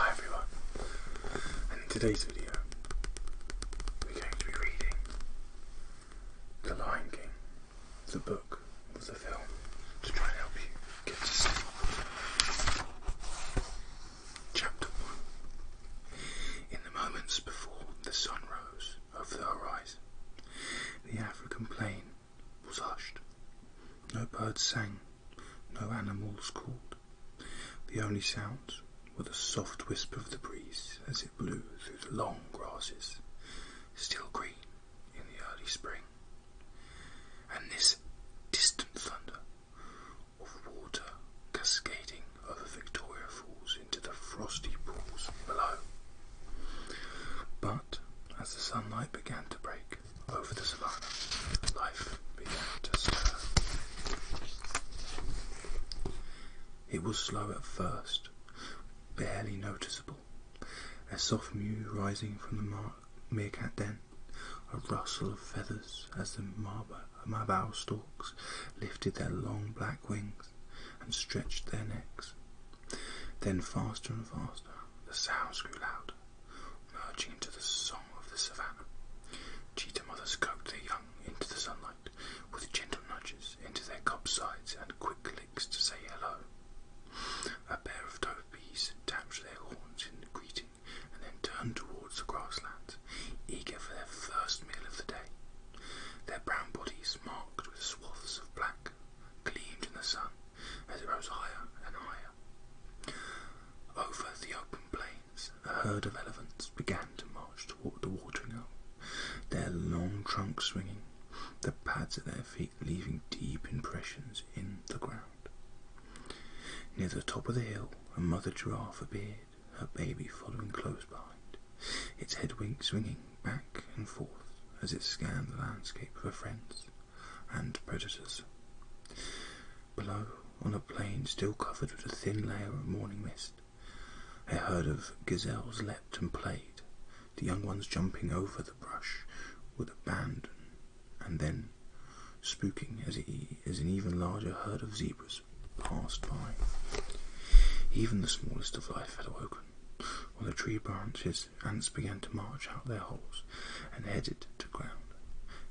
Hi everyone, in today's video we're going to be reading The Lion King, the book with the film, to try and help you get to sleep. Chapter 1 In the moments before the sun rose over the horizon, the African plain was hushed. No birds sang no animals called. The only sounds were the soft whisper of the breeze as it blew through the long grasses, still green in the early spring, and this distant thunder of water cascading over Victoria Falls into the frosty pools below. But as the sunlight began to break, over the savannah, life began to stir. It was slow at first, barely noticeable. A soft mew rising from the meerkat den, a rustle of feathers as the marbou storks lifted their long black wings and stretched their necks. Then faster and faster, the sounds grew louder, merging into the song of the savannah. Cheetah mothers goad their young into the sunlight with gentle nudges into their cub sides and quick licks to say hello. A pair of topees tapped their horns in greeting and then turned towards the grasslands, eager for their first meal of the day. Their brown bodies, marked with swaths of black, gleamed in the sun as it rose higher and higher. Over the open plain, a herd of elephants began to march toward the watering hole, their long trunks swinging, the pads at their feet leaving deep impressions in the ground. Near the top of the hill, a mother giraffe appeared, her baby following close behind, its head wing swinging back and forth as it scanned the landscape for friends and predators. Below, on a plain still covered with a thin layer of morning mist, a herd of gazelles leapt and played, the young ones jumping over the brush with abandon, and then spooking as, e as an even larger herd of zebras passed by. Even the smallest of life had awoken. On the tree branches, ants began to march out their holes and headed to ground,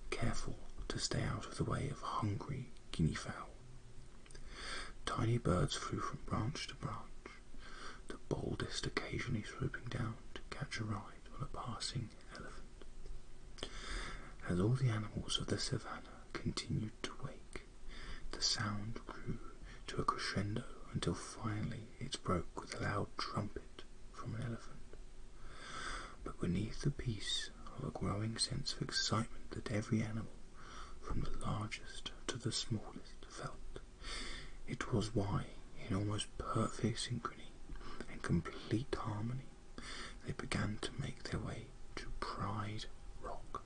careful to stay out of the way of hungry guinea fowl. Tiny birds flew from branch to branch, the boldest occasionally swooping down to catch a ride on a passing elephant. As all the animals of the savannah continued to wake, the sound grew to a crescendo until finally it broke with a loud trumpet from an elephant. But beneath the peace of a growing sense of excitement that every animal, from the largest to the smallest, felt. It was why, in almost perfect synchrony and complete harmony, they began to make their way to Pride Rock,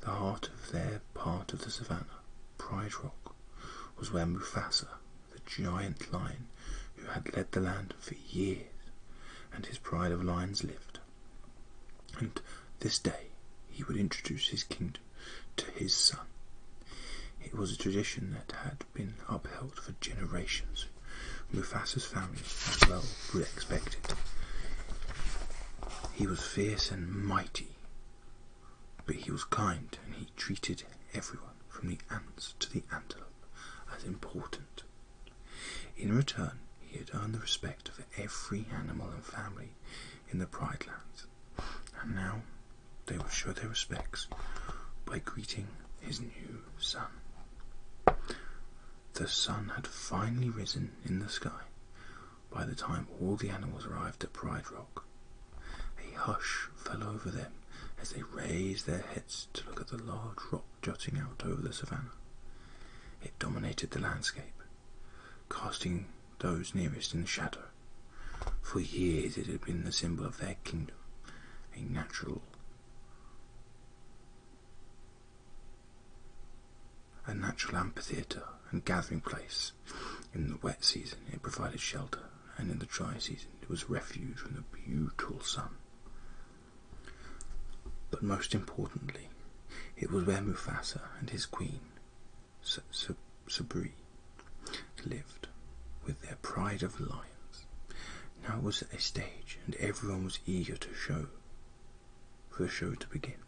the heart of their part of the savannah. Pride Rock was where Mufasa the giant lion who had led the land for years, and his pride of lions lived. And this day he would introduce his kingdom to his son. It was a tradition that had been upheld for generations. Mufasa's family, as well, would expect it. He was fierce and mighty, but he was kind and he treated everyone, from the ants to the antelope, as important in return, he had earned the respect of every animal and family in the Pride Lands, and now they would show their respects by greeting his new son. The sun had finally risen in the sky by the time all the animals arrived at Pride Rock. A hush fell over them as they raised their heads to look at the large rock jutting out over the savannah. It dominated the landscape, casting those nearest in shadow. For years it had been the symbol of their kingdom, a natural a natural amphitheatre and gathering place. In the wet season it provided shelter, and in the dry season it was refuge from the brutal sun. But most importantly, it was where Mufasa and his queen, Sabri, lived with their pride of lions. Now it was a stage, and everyone was eager to show for the show to begin.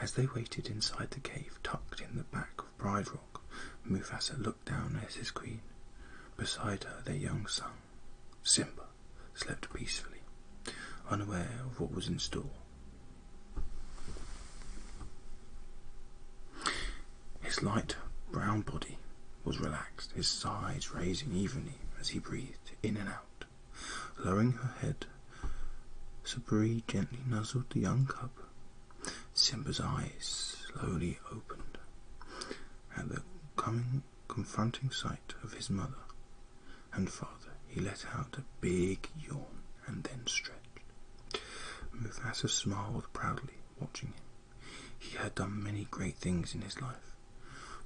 As they waited inside the cave tucked in the back of Pride Rock, Mufasa looked down as his queen. Beside her, their young son, Simba, slept peacefully, unaware of what was in store. His light brown body was relaxed, his sides rising evenly as he breathed in and out. Lowering her head, Sabri gently nuzzled the young cub. Simba's eyes slowly opened, at the coming confronting sight of his mother and father, he let out a big yawn and then stretched. Mufasa smiled proudly, watching him. He had done many great things in his life,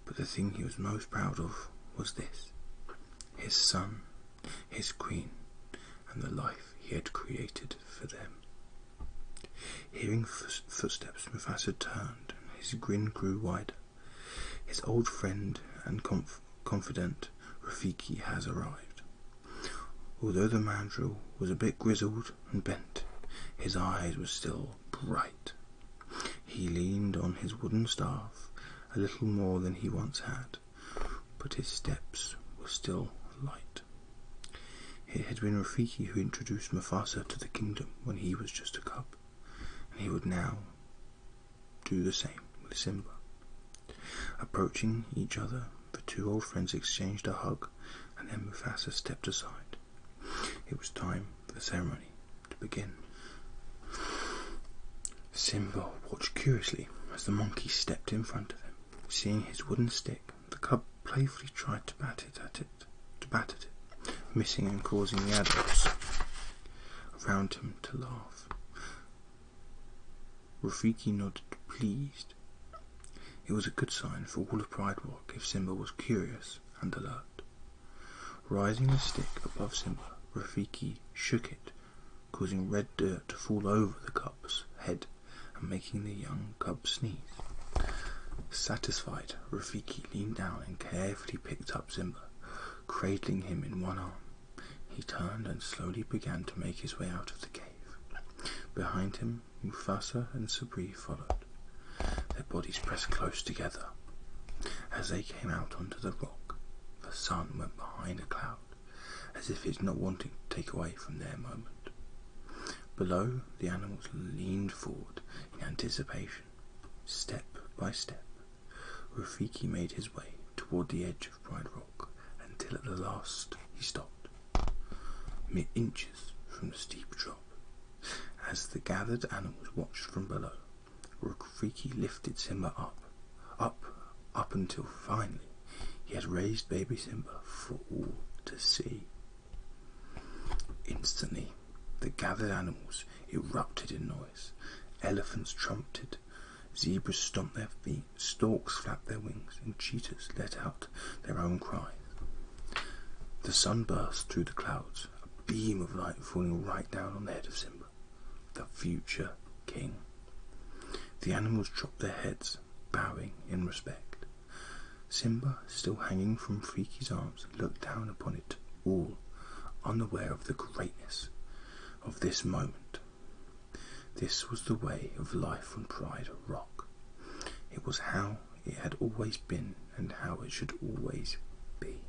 but the thing he was most proud of was this his son, his queen, and the life he had created for them. Hearing footsteps, Mufasa turned, and his grin grew wider. His old friend and confidant, Rafiki, has arrived. Although the mandrill was a bit grizzled and bent, his eyes were still bright. He leaned on his wooden staff a little more than he once had, but his steps were still light. It had been Rafiki who introduced Mufasa to the kingdom when he was just a cub, and he would now do the same with Simba. Approaching each other, the two old friends exchanged a hug, and then Mufasa stepped aside. It was time for the ceremony to begin. Simba watched curiously as the monkey stepped in front of him. Seeing his wooden stick the cub playfully tried to bat it at it, to bat at it, missing and causing the adults around him to laugh. Rafiki nodded, pleased. It was a good sign for all of Pride Rock if Simba was curious and alert. Rising the stick above Simba, Rafiki shook it, causing red dirt to fall over the cub's head and making the young cub sneeze. Satisfied, Rafiki leaned down and carefully picked up Zimba, cradling him in one arm. He turned and slowly began to make his way out of the cave. Behind him, Mufasa and Sabri followed, their bodies pressed close together. As they came out onto the rock, the sun went behind a cloud, as if it did not wanting to take away from their moment. Below, the animals leaned forward in anticipation. Step by step, Rafiki made his way toward the edge of Pride Rock until at the last he stopped, mere inches from the steep drop. As the gathered animals watched from below, Rafiki lifted Simba up, up, up until finally he had raised baby Simba for all to see. Instantly, the gathered animals erupted in noise. Elephants trumpeted, zebras stomped their feet, storks flapped their wings, and cheetahs let out their own cries. The sun burst through the clouds, a beam of light falling right down on the head of Simba, the future king. The animals dropped their heads, bowing in respect. Simba, still hanging from Friki's arms, looked down upon it all, unaware of the greatness of this moment. This was the way of life on Pride Rock. It was how it had always been and how it should always be.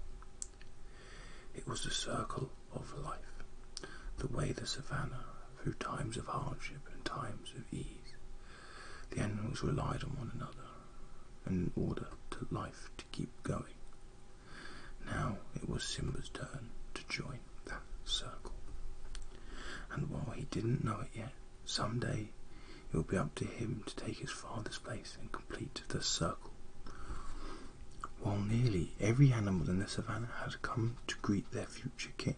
It was the circle of life, the way the savanna, through times of hardship and times of ease, the animals relied on one another in order to life to keep going. Now it was Simba's turn to join that circle. And while he didn't know it yet, someday it would be up to him to take his father's place and complete the circle. While nearly every animal in the savannah had come to greet their future king,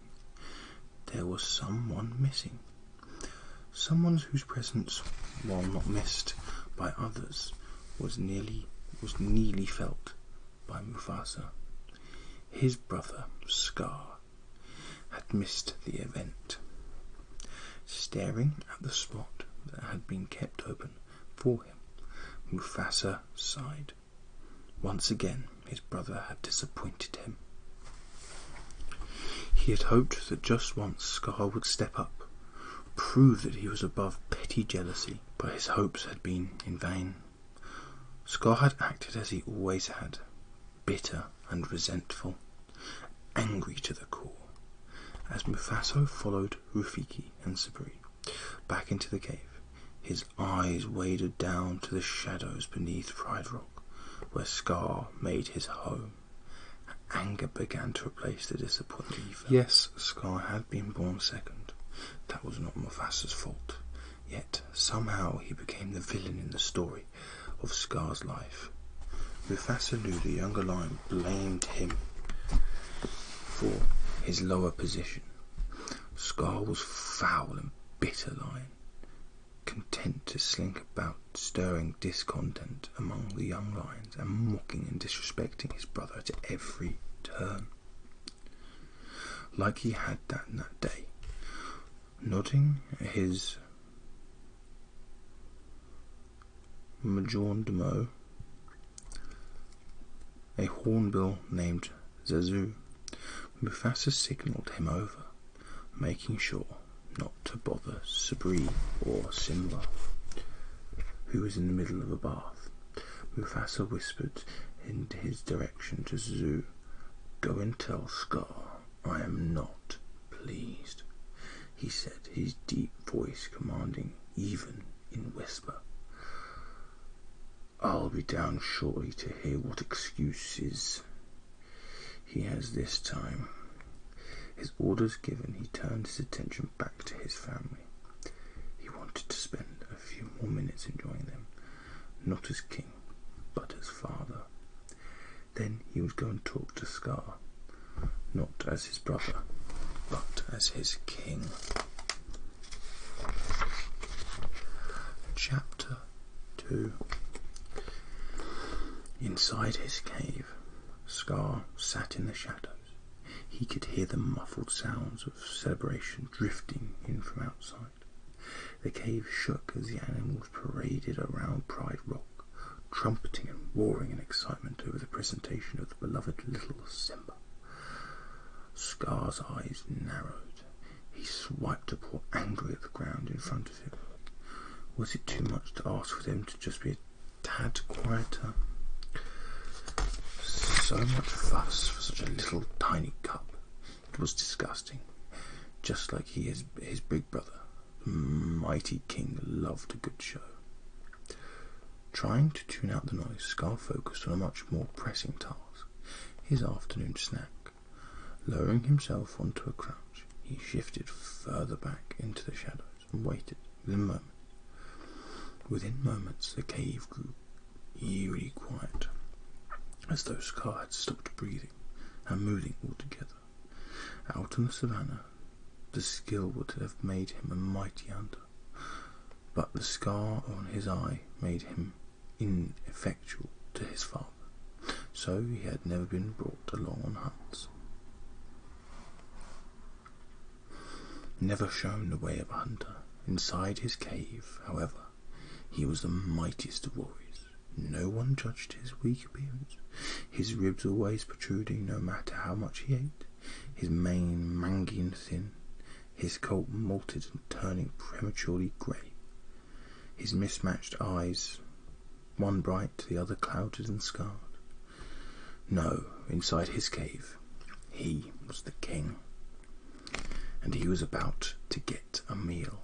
there was someone missing Someone whose presence, while not missed by others, was nearly was nearly felt by Mufasa. His brother, Scar, had missed the event, staring at the spot that had been kept open for him. Mufasa sighed. Once again, his brother had disappointed him. He had hoped that just once Scar would step up, prove that he was above petty jealousy, but his hopes had been in vain. Scar had acted as he always had, bitter and resentful, angry to the core, as Mufaso followed Rufiki and Sabri back into the cave. His eyes waded down to the shadows beneath Pride Rock, where Scar made his home. Anger began to replace the disappointment Yes, Scar had been born second. That was not Mufasa's fault. Yet, somehow, he became the villain in the story of Scar's life. Mufasa knew the younger lion blamed him for his lower position. Scar was foul and bitter lion content to slink about stirring discontent among the young lions and mocking and disrespecting his brother at every turn. Like he had done that day, nodding his majordomo, a hornbill named Zazu, Mufasa signaled him over making sure not to bother Sabri or Simla, who was in the middle of a bath. Mufasa whispered in his direction to Zazu, Go and tell Scar I am not pleased, he said, his deep voice commanding even in whisper. I'll be down shortly to hear what excuses he has this time. His orders given, he turned his attention back to his family. He wanted to spend a few more minutes enjoying them, not as king, but as father. Then he would go and talk to Scar, not as his brother, but as his king. Chapter 2. Inside his cave, Scar sat in the shadows. He could hear the muffled sounds of celebration drifting in from outside. The cave shook as the animals paraded around Pride Rock, trumpeting and roaring in excitement over the presentation of the beloved little Simba. Scar's eyes narrowed. He swiped a paw angrily at the ground in front of was it too much to ask for them to just be a tad quieter? So much fuss for such a little tiny cup. It was disgusting. Just like he is his big brother, the mighty king loved a good show. Trying to tune out the noise, Scar focused on a much more pressing task his afternoon snack, lowering himself onto a crown he shifted further back into the shadows and waited within moments. Within moments, the cave grew eerily quiet, as though Scar had stopped breathing and moving altogether. Out on the savannah, the skill would have made him a mighty hunter, but the scar on his eye made him ineffectual to his foe so he had never been brought along on hunts. Never shown the way of a hunter. Inside his cave, however, he was the mightiest of warriors. No one judged his weak appearance, his ribs always protruding no matter how much he ate, his mane mangy and thin, his coat molted and turning prematurely grey, his mismatched eyes one bright, the other clouded and scarred. No, inside his cave, he was the king. And he was about to get a meal.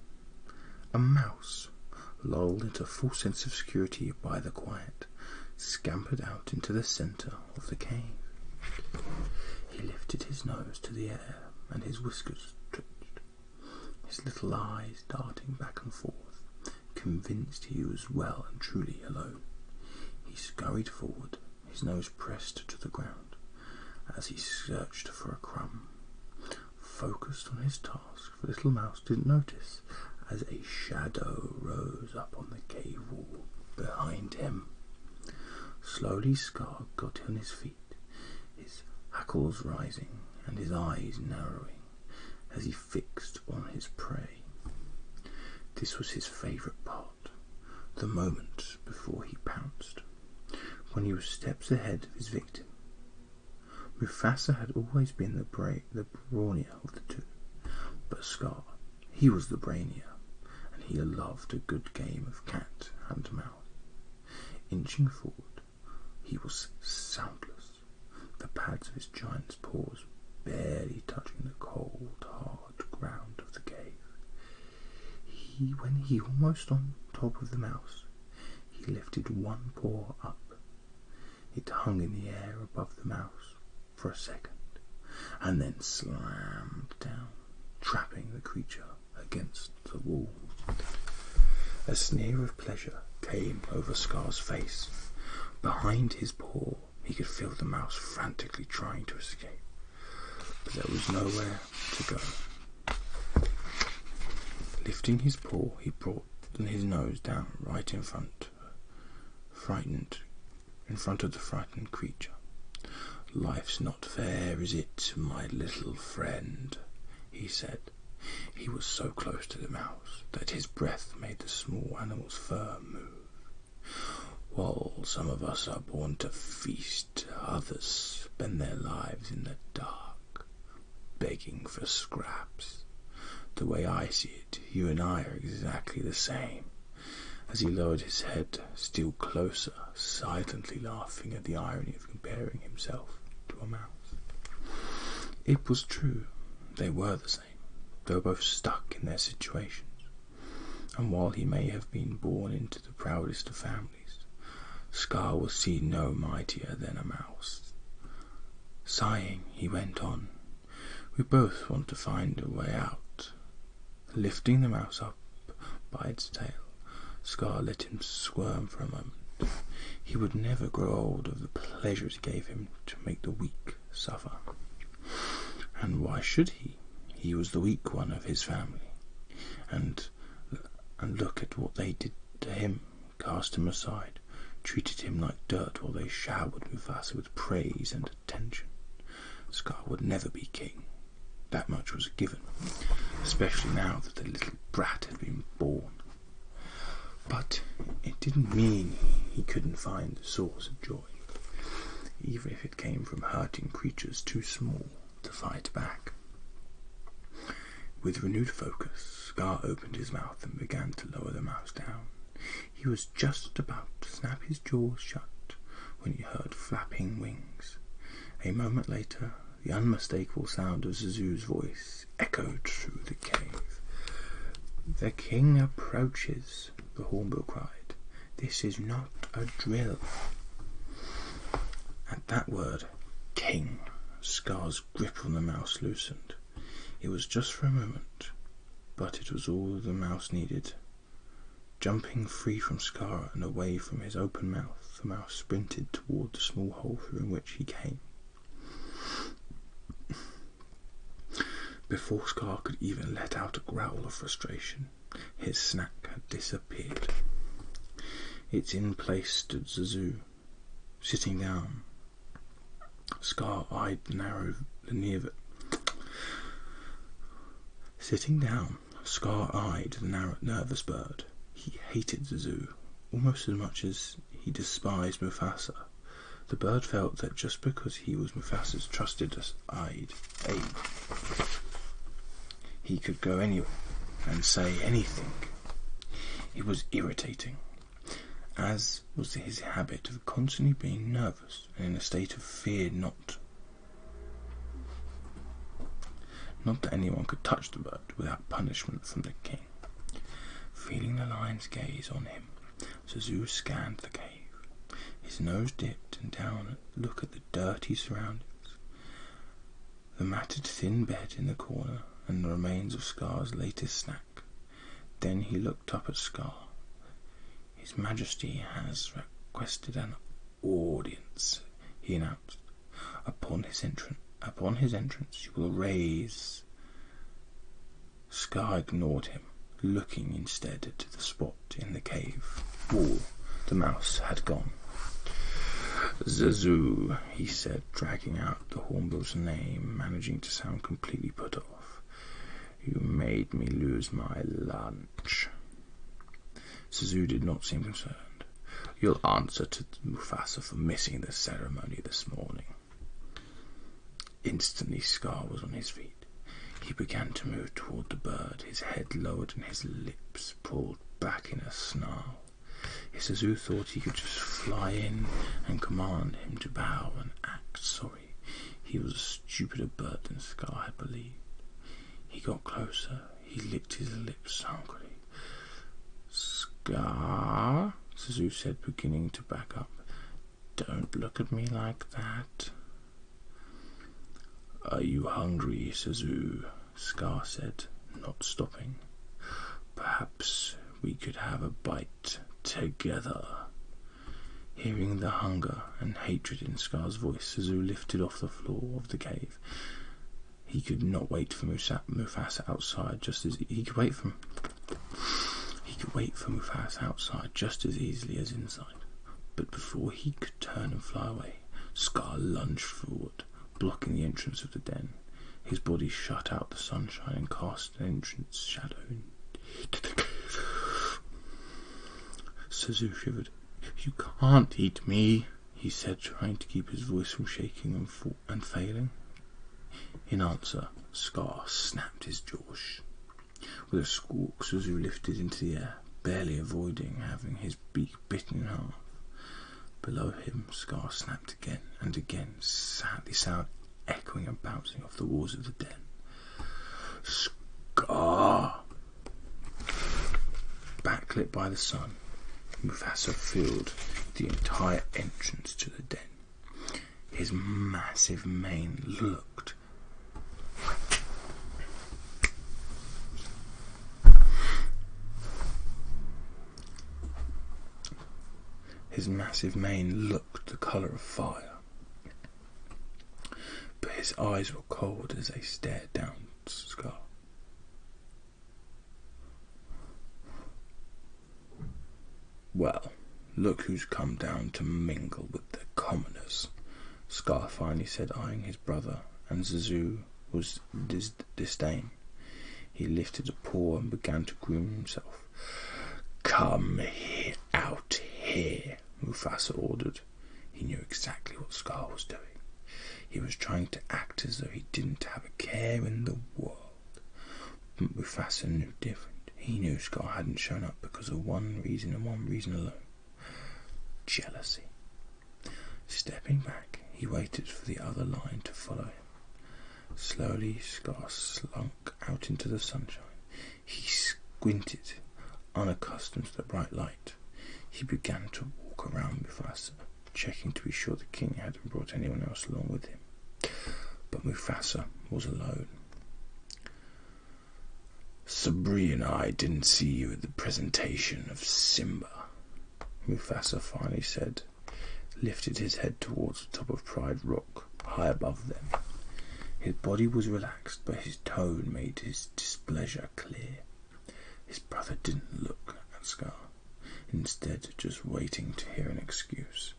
A mouse, lulled into full sense of security by the quiet, scampered out into the centre of the cave. He lifted his nose to the air, and his whiskers twitched his little eyes darting back and forth, convinced he was well and truly alone. He scurried forward, his nose pressed to the ground, as he searched for a crumb. Focused on his task, the little mouse didn't notice as a shadow rose up on the cave wall behind him. Slowly Scar got on his feet, his hackles rising and his eyes narrowing as he fixed on his prey. This was his favourite part, the moment before he pounced, when he was steps ahead of his victim. Mufasa had always been the, bra- brawnier of the two, but Scar, he was the brainier, and he loved a good game of cat and mouse. Inching forward, he was soundless, the pads of his giant's paws barely touching the cold, hard ground of the cave. He, when he almost on top of the mouse, he lifted one paw up. It hung in the air above the mouse for a second, and then slammed down, trapping the creature against the wall. A sneer of pleasure came over Scar's face. Behind his paw, he could feel the mouse frantically trying to escape, but there was nowhere to go. Lifting his paw, he brought his nose down right in front, frightened, in front of the frightened creature. Life's not fair, is it, my little friend? he said. He was so close to the mouse that his breath made the small animal's fur move. While some of us are born to feast, others spend their lives in the dark, begging for scraps. The way I see it, you and I are exactly the same. As he lowered his head still closer, silently laughing at the irony of comparing himself to a mouse. It was true they were the same, though both stuck in their situations. And while he may have been born into the proudest of families, Scar was seen no mightier than a mouse. Sighing, he went on, We both want to find a way out. Lifting the mouse up by its tail, Scar let him squirm for a moment. He would never grow old of the pleasures gave him to make the weak suffer. And why should he? He was the weak one of his family. And, and look at what they did to him cast him aside, treated him like dirt while they showered Mufasa with praise and attention. Scar would never be king. That much was given, especially now that the little brat had been born but it didn't mean he couldn't find the source of joy, even if it came from hurting creatures too small to fight back. With renewed focus, Scar opened his mouth and began to lower the mouse down. He was just about to snap his jaws shut when he heard flapping wings. A moment later, the unmistakable sound of Zazu's voice echoed through the cave. The king approaches, the hornbill cried. This is not a drill. At that word, king, Scar's grip on the mouse loosened. It was just for a moment, but it was all the mouse needed. Jumping free from Scar and away from his open mouth, the mouse sprinted toward the small hole through which he came. Before Scar could even let out a growl of frustration, his snack had disappeared. Its in place stood Zazu, sitting down. Scar eyed narrow Leneva. Sitting down, Scar eyed the narrow, nervous bird. He hated Zazu almost as much as he despised Mufasa. The bird felt that just because he was Mufasa's trusted aide, he could go anywhere and say anything. He was irritating, as was his habit of constantly being nervous and in a state of fear not. Not that anyone could touch the bird without punishment from the king. Feeling the lion's gaze on him, Zazu scanned the cave. His nose dipped and down look at the dirty surroundings. The matted thin bed in the corner and the remains of Scar's latest snack. Then he looked up at Scar. His Majesty has requested an audience, he announced. Upon his entrance upon his entrance you will raise Scar ignored him, looking instead to the spot in the cave wall the mouse had gone. Zazu, he said, dragging out the hornbill's name, managing to sound completely put off. You made me lose my lunch. Zazu did not seem concerned. You'll answer to Mufasa for missing the ceremony this morning. Instantly, Scar was on his feet. He began to move toward the bird, his head lowered and his lips pulled back in a snarl. Isuzu thought he could just fly in and command him to bow and act sorry. He was a stupider bird than Scar had believed. He got closer. He licked his lips hungrily. Scar, car? Suzu said, beginning to back up. Don't look at me like that. Are you hungry, Suzu? Scar said, not stopping. Perhaps we could have a bite together. Hearing the hunger and hatred in Scar's voice, Suzu lifted off the floor of the cave. He could not wait for Musa Mufasa outside, just as he could wait for him. He could wait for Mufasa outside just as easily as inside, but before he could turn and fly away, Scar lunged forward, blocking the entrance of the den. His body shut out the sunshine and cast an entrance shadow into shivered. You can't eat me, he said, trying to keep his voice from shaking and and failing? In answer, Scar snapped his jaws with a squawk as he lifted into the air, barely avoiding having his beak bitten in half. Below him, Scar snapped again and again, sadly sound echoing and bouncing off the walls of the den. Scar! Backlit by the sun, Mufasa filled the entire entrance to the den. His massive mane looked his massive mane looked the colour of fire, but his eyes were cold as they stared down Scar. Well, look who's come down to mingle with the commoners, Scar finally said, eyeing his brother and Zazu with disdain. He lifted a paw and began to groom himself. Come out here, Mufasa ordered. He knew exactly what Scar was doing. He was trying to act as though he didn't have a care in the world. But knew different. He knew Scar hadn't shown up because of one reason and one reason alone jealousy. Stepping back, he waited for the other lion to follow Slowly, Scar slunk out into the sunshine. He squinted, unaccustomed to the bright light. He began to walk around Mufasa, checking to be sure the king hadn't brought anyone else along with him. But Mufasa was alone. Sabri and I didn't see you at the presentation of Simba, Mufasa finally said, lifted his head towards the top of Pride Rock, high above them. His body was relaxed, but his tone made his displeasure clear. His brother didn't look at Scar, instead, just waiting to hear an excuse.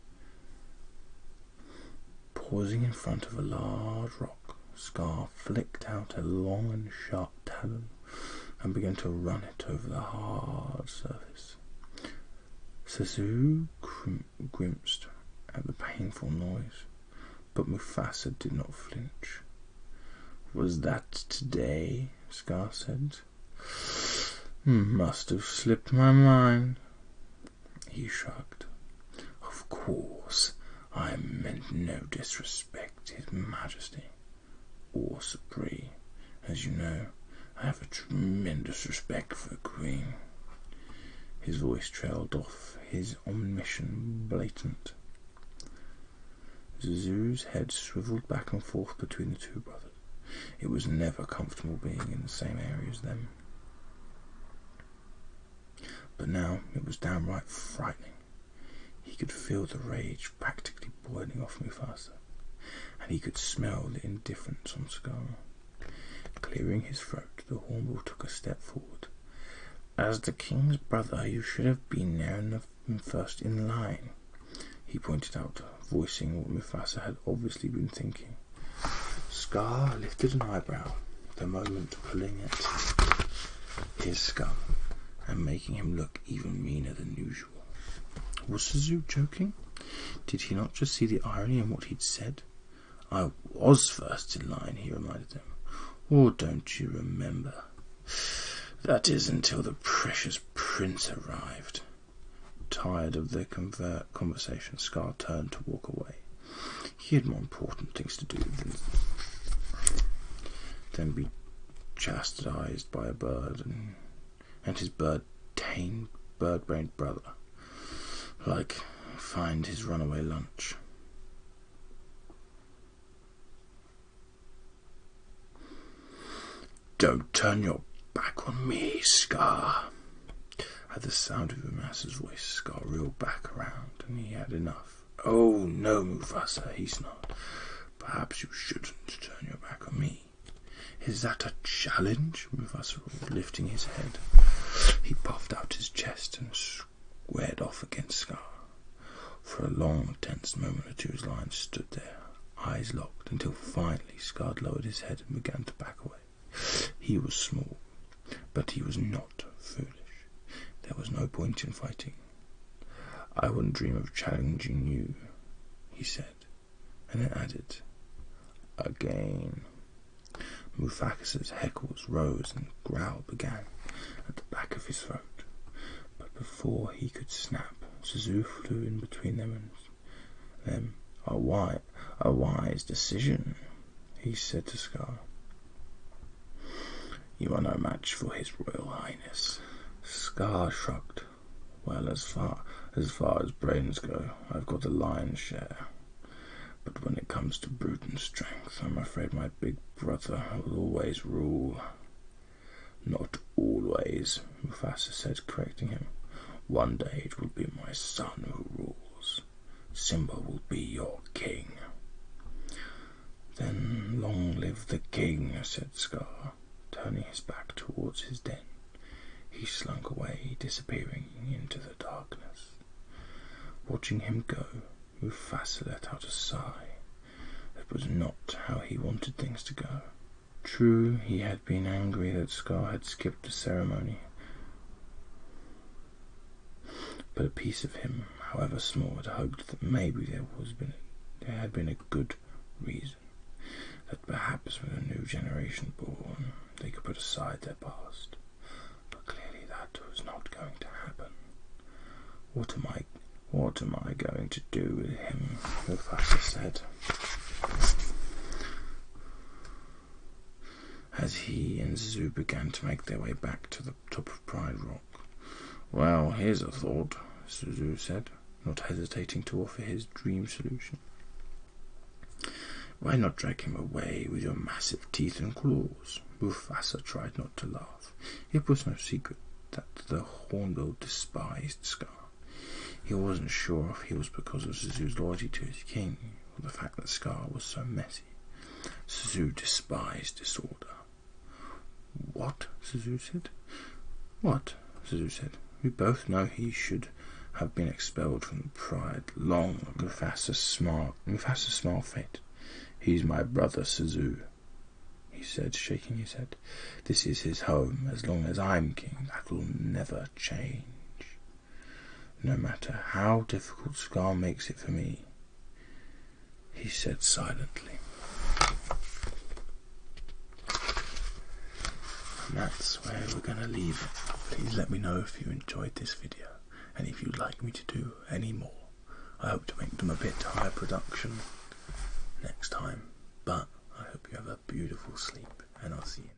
Pausing in front of a large rock, Scar flicked out a long and sharp talon and began to run it over the hard surface. Sazu grim grimaced at the painful noise, but Mufasa did not flinch. Was that today? Scar said. Hmm, must have slipped my mind. He shrugged. Of course, I meant no disrespect, His Majesty, or Supreme. As you know, I have a tremendous respect for the Queen. His voice trailed off, his omission blatant. Zuzu's head swiveled back and forth between the two brothers. It was never comfortable being in the same area as them. But now it was downright frightening. He could feel the rage practically boiling off Mufasa, and he could smell the indifference on Scar. Clearing his throat, the hornbill took a step forward. As the king's brother, you should have been there and first in line, he pointed out to voicing what Mufasa had obviously been thinking. Scar lifted an eyebrow, the moment pulling at his scum and making him look even meaner than usual. Was Sazu joking? Did he not just see the irony in what he'd said? I was first in line, he reminded them. Or oh, don't you remember? That is until the precious prince arrived. Tired of the conversation, Scar turned to walk away. He had more important things to do than, be chastised by a bird and, and his bird tamed, bird brained brother, like find his runaway lunch. Don't turn your Back on me, Scar. At the sound of Umasa's voice, Scar reeled back around, and he had enough. Oh no, Mufasa, he snarled. Perhaps you shouldn't turn your back on me. Is that a challenge? Mufasa roared, lifting his head. He puffed out his chest and squared off against Scar. For a long, tense moment or two, his lions stood there, eyes locked, until finally Scar lowered his head and began to back away. He was small, but he was not foolish. There was no point in fighting. I wouldn't dream of challenging you, he said, and then added, Again. Mufakas's heckles rose and a growl began at the back of his throat, but before he could snap, Suzu flew in between them and them. A wide a wise decision," he said to Scar. "You are no match for his Royal Highness." Scar shrugged. "Well, as far as far as brains go, I've got the lion's share. But when it comes to brute and strength, I'm afraid my big brother will always rule." "Not always," Mufasa said, correcting him. One day it will be my son who rules. Simba will be your king. Then long live the king, said Scar, turning his back towards his den. He slunk away, disappearing into the darkness. Watching him go, Mufasa let out a sigh. That was not how he wanted things to go. True, he had been angry that Scar had skipped the ceremony. But a piece of him, however small, had hoped that maybe there was been there had been a good reason that perhaps with a new generation born they could put aside their past. But clearly that was not going to happen. What am I what am I going to do with him? Mufasa said as he and Zuzu began to make their way back to the top of Pride Rock. Well, here's a thought, Zuzu said, not hesitating to offer his dream solution. Why not drag him away with your massive teeth and claws? Mufasa tried not to laugh. It was no secret that the Hornbill despised Scar. He wasn't sure if he was because of Zuzu's loyalty to his king the fact that Scar was so messy. Suzu despised disorder. What? Suzu said. What? Suzu said. We both know he should have been expelled from the pride long ago. Mufasa small, Mufasa smiled faint. He's my brother, Suzu, he said, shaking his head. This is his home. As long as I'm king, that will never change no matter how difficult Scar makes it for me, he said silently. And that's where we're going to leave it. Please let me know if you enjoyed this video and if you'd like me to do any more. I hope to make them a bit higher production next time, but I hope you have a beautiful sleep and I'll see you.